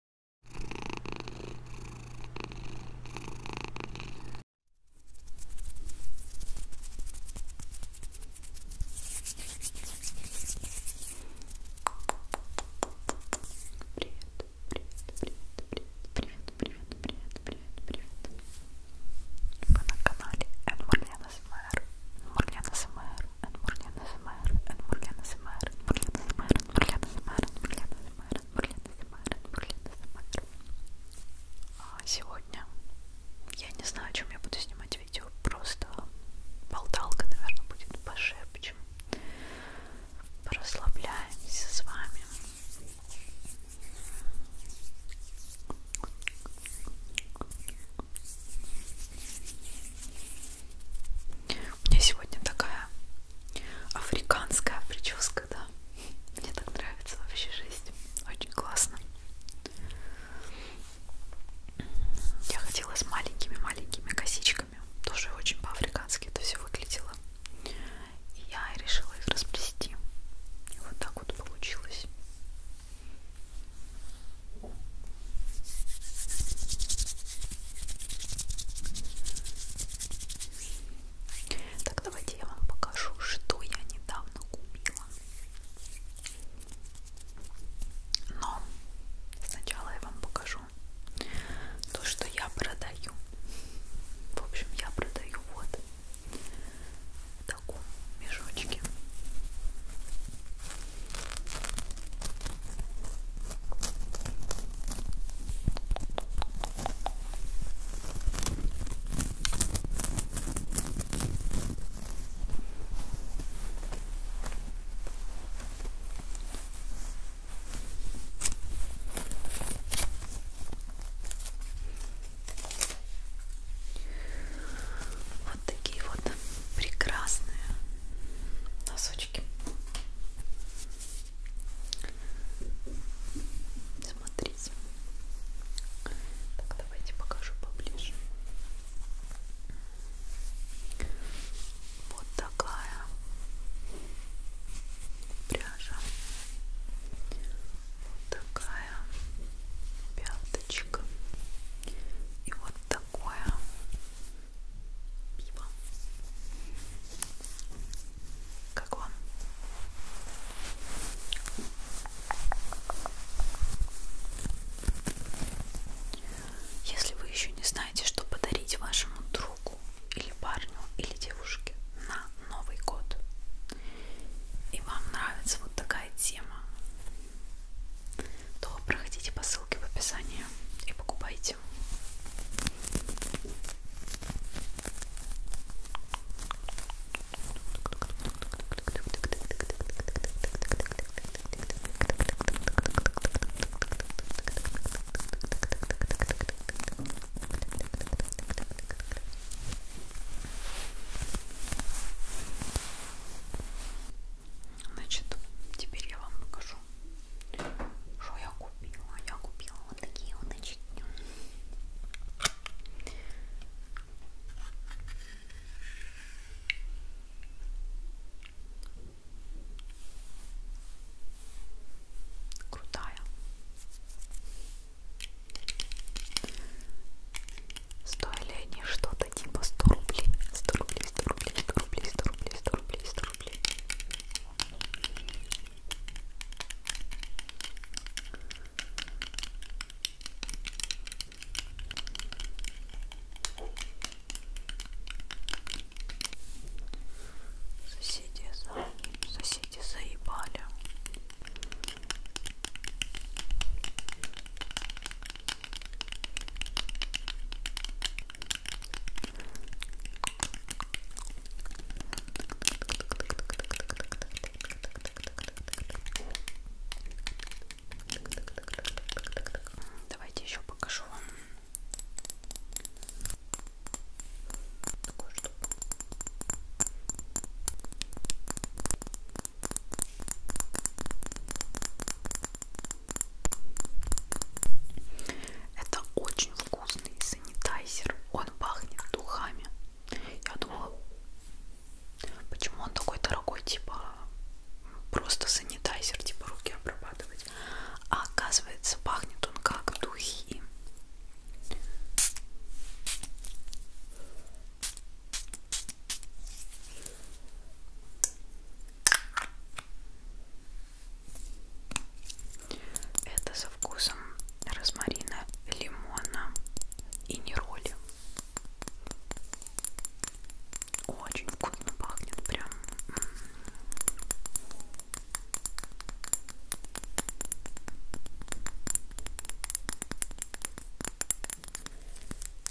Вы на канале Энмурлен СМР, Энмурлен СМР, Энмурлен СМР, Энмурлен СМР, Энмурлен СМР. Бурлена Самаран, Бурлена Самаран, Бурлена Самаран, Бурлена Самаран. А сегодня я не знаю, о чем я буду снимать видео, просто болталка, наверное, будет пошепчем. Порасслабляемся с вами. У меня сегодня такая африканская прическа, да. Мне так нравится вообще жизнь. Очень классно. Я ходила с маленькими-маленькими косичками. Тоже очень по-африкански это все выглядело. И я решила их расплести. И вот так вот получилось. Так, давайте я вам покажу, что я недавно купила. Но сначала я вам покажу то, что я продаю. В общем, я продаю вот в таком мешочке. Вот такие вот прекрасные носочки. Смотрите. Так, давайте покажу поближе. Вот такая пряжа. Вот такая пяточка. И вот такое пиво. Как вам? Если вы еще не знаете, что подарить вашему другу или парню или девушке на Новый год, и вам нравится вот такая тема, то проходите по ссылке в описании и покупайте. Значит, теперь я вам покажу, что я купила. Я купила вот такие вот очки. Крутая. Стоили они что-то типа 100 рублей, 100 рублей, 100 рублей, 100 рублей, 100 рублей, 100 рублей, 100 рублей. Соседи, за... соседи заебали. Давайте еще покажу вам такую штуку. Это очень вкусный санитайзер. Он пахнет духами. Я думала, почему он такой дорогой, типа просто санитайзер, типа руки обрабатывать. А оказывается, пахнет он как духи. Это со вкусом розмарина, лимона и нероли. Очень вкусно пахнет прям.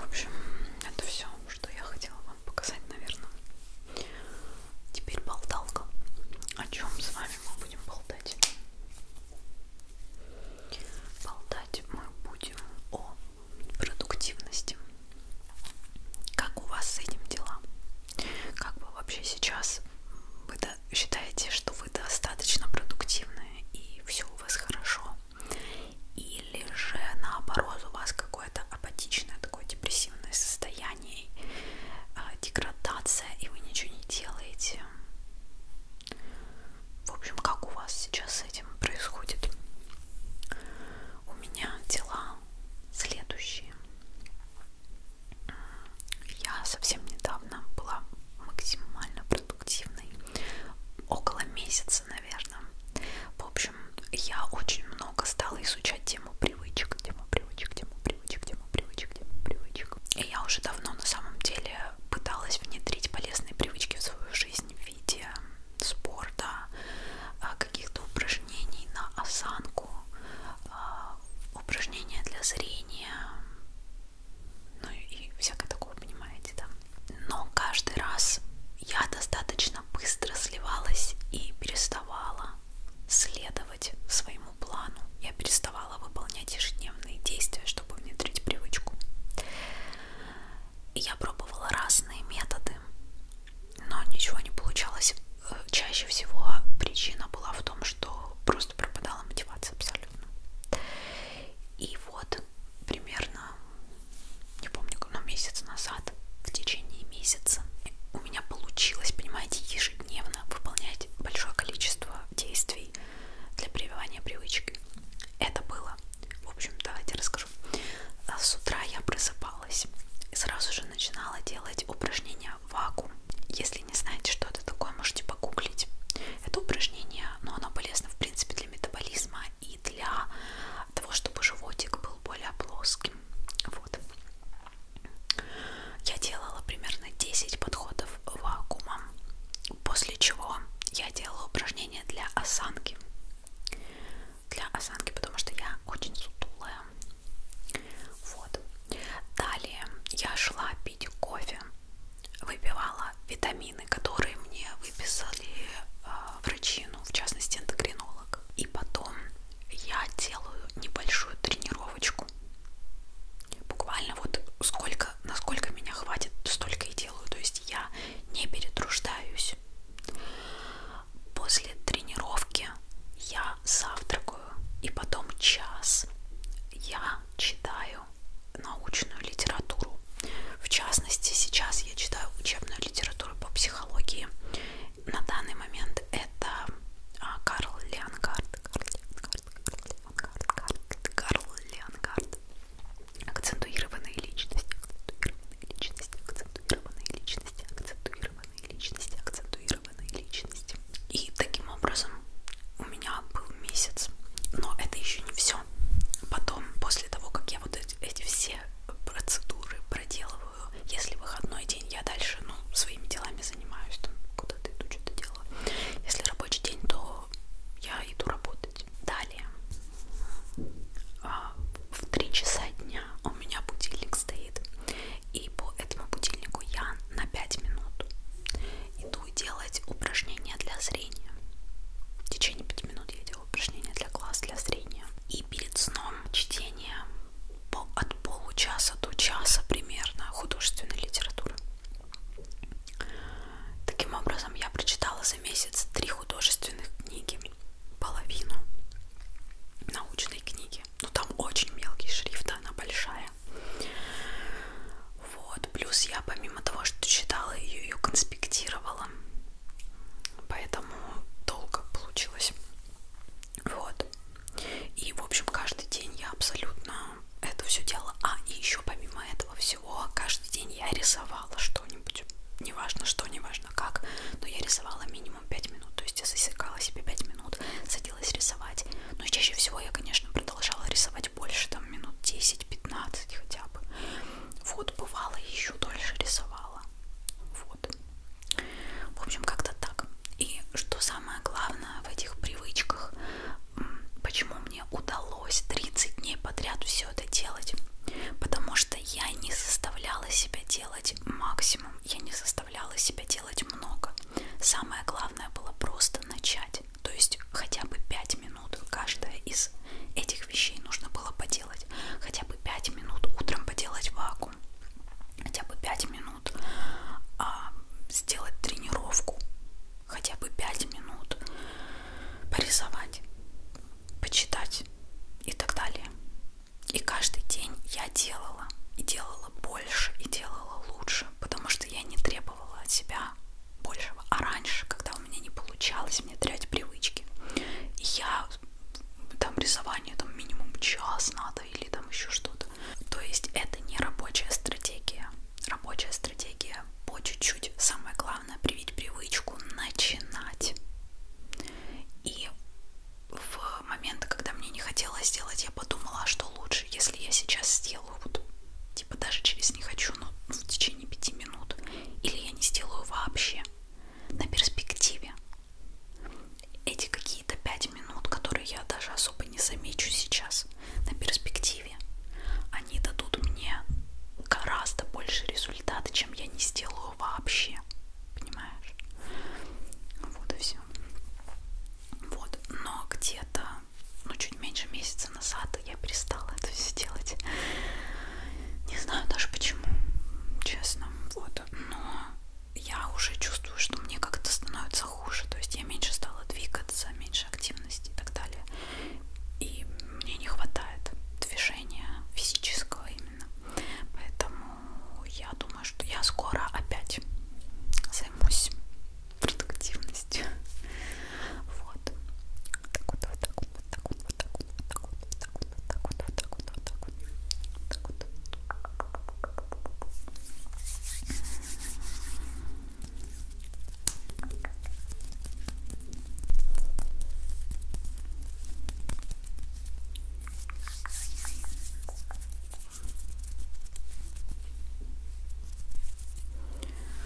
В общем, это все, что я хотела вам показать, наверное. Теперь болталка. О чем с вами мы будем болтать? Болтать мы будем о продуктивности. Как у вас с этим дела? Как вы вообще сейчас вы считаете, что вы достаточно продуктивны и все у вас хорошо? или же наоборот у вас какое-то апатичное такое депрессивное состояние, а, деградация, и вы ничего не делаете. В общем, как у вас сейчас с этим происходит? У меня дела следующие. Я совсем недавно была максимально продуктивной около месяца, наверное. В общем, я очень много стала изучать тему привычек, тему привычек, тему привычек, тему привычек, тему привычек. И я уже давно на самом деле пыталась внедрить полезные привычки в свою жизнь в виде спорта, а, каких-то упражнений на осанку, а, упражнения для зрения, ну и всякое такое, понимаете, да но каждый раз я достаточно быстро сливалась и переставала следовать своему плану. Я переставала выполнять ежедневные действия, чтобы внедрить привычку. И я пробовала разные методы, но ничего не получалось. Э, чаще всего причина была в том, что просто пропадала мотивация абсолютно. И вот примерно не помню, но месяц назад, в течение месяца, у меня получилось, понимаете, ежедневно выполнять большое количество действий для прививания привычки. Это было, в общем, давайте расскажу. А с утра я просыпалась и сразу же начинала делать упражнения вакуум. Если не знаете, что это такое, можете погуглить. Это упражнение, но оно полезно, в принципе, для метаболизма и для того, чтобы животик был более плоским. Вот. Я делала примерно 10 подходов вакуумом, после чего я делала упражнения для осанки. Для осанки, потому что я очень сутулая. Вот. Далее я шла пить кофе выпивала витамины, которые мне выписали э, врачи, ну, в частности, эндокринолог. И потом я делаю небольшую тренировочку. Буквально вот сколько, насколько меня хватит, столько и делаю. То есть я не перетруждаюсь. После тренировки я завтракаю. И потом час я читаю читаю научную литературу. В частности, сейчас я читаю учебную литературу по психологии. На данный момент это а, Карл Леонгард. Карл Леонгард, Карл Леонгард, Карл Леонгард. Акцентуированные личности, акцентуированные личности, акцентуированные личности, акцентуированные личности, акцентуированные личности. И таким образом у меня меня был месяц. Но это еще не все. Потом, после того, как я вот эти, эти все процедуры проделываю, если выходной день, я дальше ну, своими делами занимаюсь, там куда-то иду, что-то делаю. Если рабочий день, то я иду работать. Далее, а, в 3 часа дня у меня будильник стоит. И по этому будильнику я на 5 минут иду буду делать упражнения для зрения. В течение 5 минут я делаю упражнения для глаз, для зрения. И перед сном чтение от получаса до часа примерно художественной литературы. Таким образом, я прочитала за месяц три художественных книги, половину научной книги. Но ну, там очень мелкий шрифт, она большая. Вот, плюс я помимо того, что читала ее, ее конспектировала. Поэтому долго получилось. Вот. И, в общем, каждый день я абсолютно это все делала. А, и еще помимо этого всего, каждый день я рисовала что-нибудь. Неважно что, неважно как, но я рисовала минимум 5 минут. То есть я засекала себе 5 минут, садилась рисовать. Но чаще всего я, конечно, продолжала рисовать больше, да, там минут 10-15 хотя бы. Вот, бывало, еще дольше рисовала. Вот. В общем, как-то так. И что самое главное в этих привычках, почему мне удалось 30 дней подряд все это делать, потому что я не заставляла себя делать максимум, я не заставляла себя делать много. Самое главное было просто начать делать. То есть хотя бы 5 минут каждая из этих вещей нужно было поделать. Хотя бы 5 минут утром поделать вакуум. Хотя бы 5 минут а, сделать тренировку. Хотя бы 5 минут порисовать, почитать и так далее. И каждый день я делала, и делала больше, и делала лучше, потому что я не требовала от себя большего. А раньше, когда у меня не получалось, мне терять привычки. И я там рисование там минимум час надо или там еще что-то. То есть это не рабочая стратегия. Рабочая стратегия по чуть-чуть. Самое главное привить привычку начинать. И в момент, когда мне не хотелось сделать, я подумала, а что лучше, если я сейчас сделаю вот типа даже через не хочу, но в течение пяти минут, или я не сделаю вообще. На перспективе эти какие-то пять минут, которые я даже особо не замечу сейчас, на перспективе, они дадут мне гораздо больше результата, чем я не сделаю вообще. Понимаешь? Вот и все. Вот. Но где-то ну, чуть меньше месяца назад я перестала это все делать. Не знаю даже почему, честно. Вот. Но я уже чувствую, что мне как-то становится хуже. То есть я меньше стала двигаться, меньше активности и так далее. И мне не хватает движения физического именно. Поэтому я думаю, что я скоро опять займусь продуктивностью. Вот. Так вот, вот так вот, вот так вот, вот так вот, вот так вот, вот так вот, вот так вот, вот так вот, вот так вот, вот так вот.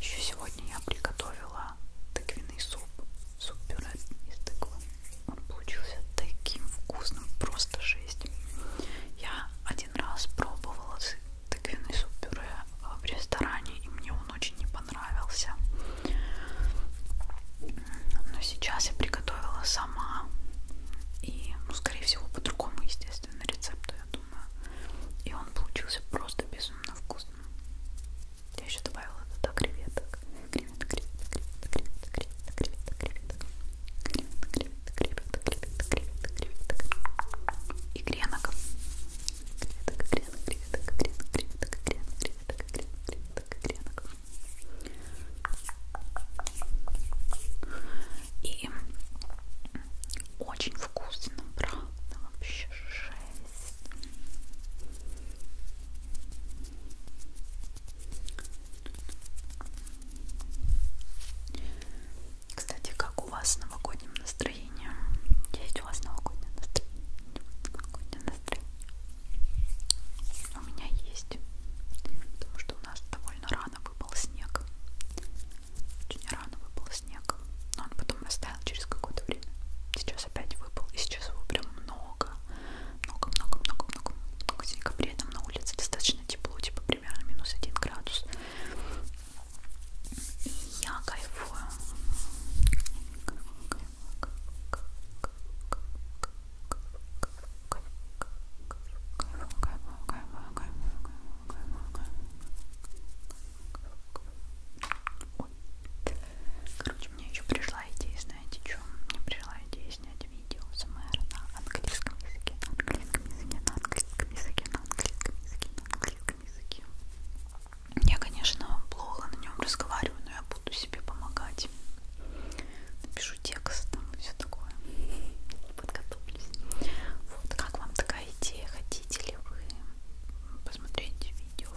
Еще сегодня я приготовила тыквенный суп, суп-пюре из тыквы. Он получился таким вкусным, просто жесть. Я один один раз пробовала тыквенный суп пюре а, в ресторане, и мне он очень не понравился. Но сейчас я приготовила сама. И, ну, скорее всего, по другому, естественно, рецепту, я думаю. И он получился просто безумно вкусным. Я еще добавила туда креветок. Креветок, креветок, креветок, креветок, креветок, креветок, креветок, креветок, креветок, креветок, креветок, креветок, креветок и гренок. Креветок, гренок, креветок, гренок, креветок, гренок, креветок, гренок, креветок, гренок. И очень вкусно, правда, вообще жесть. Кстати, как у вас с новогодним настроением? Есть у вас новогоднее настроение? Новогоднее настроение? У меня есть. Потому что у нас довольно рано выпал снег. Очень рано выпал снег. Но он потом растаял через какое-то время. Сейчас опять выпал. И сейчас его прям много. Много-много-много-много. В декабре там на улице достаточно тепло, типа примерно минус один градус. И я кайфую. Короче, мне еще пришла идея, знаете, что? Мне пришла идея снять делать видео с на английском языке, на английском языке, на английском языке, на английском языке, на английском языке. Я, конечно, плохо на нем разговариваю, но я буду себе помогать. Напишу текст там и все такое. Подготовлюсь. Вот как вам такая идея? Хотите ли вы посмотреть видео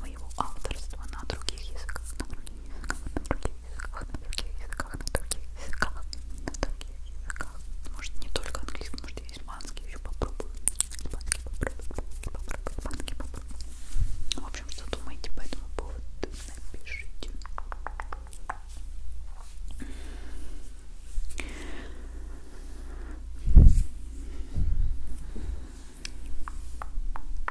моего авторства на других языках? На других языках, на других языках, на других языках, на других языках, на других языках. Может не только английский, может и испанский еще попробую. Испанский попробую, попробую, испанский попробую. В общем, что думаете по этому поводу? Напишите.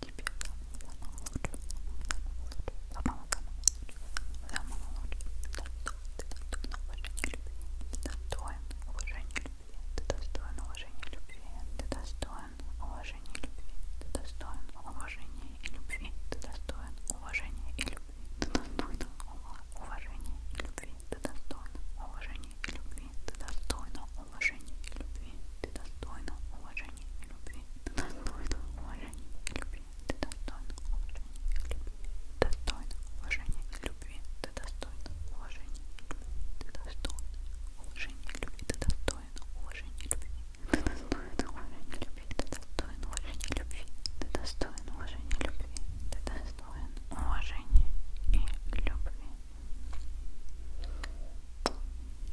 тебе самого лучшего, самого лучшего, самого ты достойна уважения и любви, ты достойна уважения и любви, любви, ты достойна уважения и любви, ты достойна уважения и любви, ты достойна уважения и любви, ты достойна уважения и любви, ты достойна уважения и любви, ты достойна уважения и любви, ты достойна уважения и любви, ты достойна уважения и любви, ты достойна уважения и любви, ты достоин уважения и любви.